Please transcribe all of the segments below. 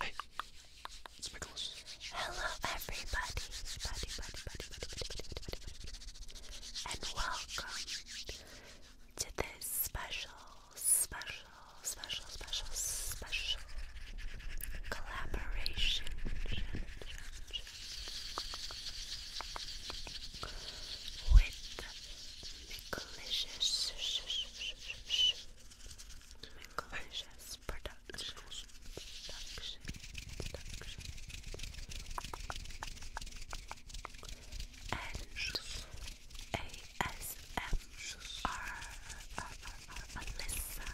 Hey, it's Nicholas. Hello, everybody, buddy, buddy, buddy, buddy, buddy, buddy, buddy, buddy, buddy, and welcome to this special, special, special, special, special collaboration. With Nicholas Delicious production. Production. Production. And ASMR. Alyssa.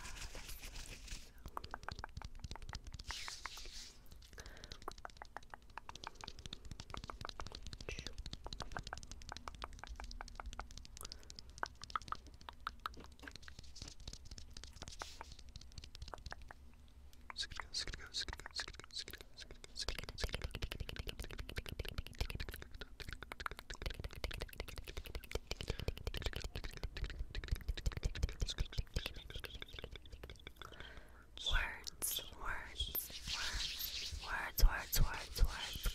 Words, words, words, words, words, words, words,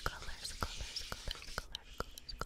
colors, colors, colors, colors, colors,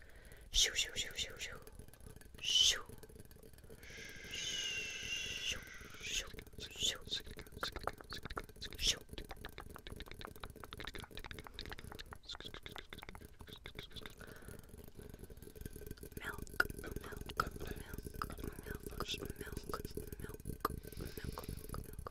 Shoo, shoo, shoo, shoo, shoo. Shoo. Shoo, shoo, shoo. Shoo. Milk, milk, milk, milk, milk, milk, milk, milk, milk, milk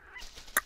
Catch, catch, catch,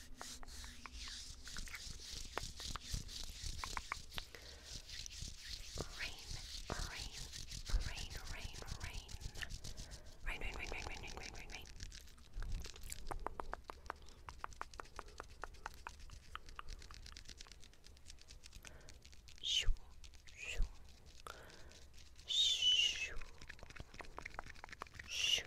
Rain, rain, rain, rain, rain. Rain, rain, rain, rain, rain, rain, rain, rain, rain. Shoo, shoo, shoo, shoo, shoo,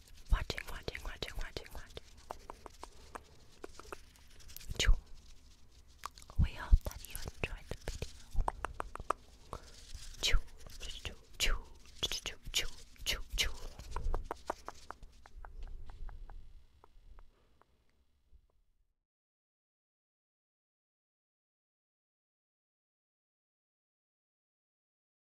watching, watching, watching, watching, watching. We hope that you enjoyed the video. Choo, choo, choo, choo, choo, choo, choo.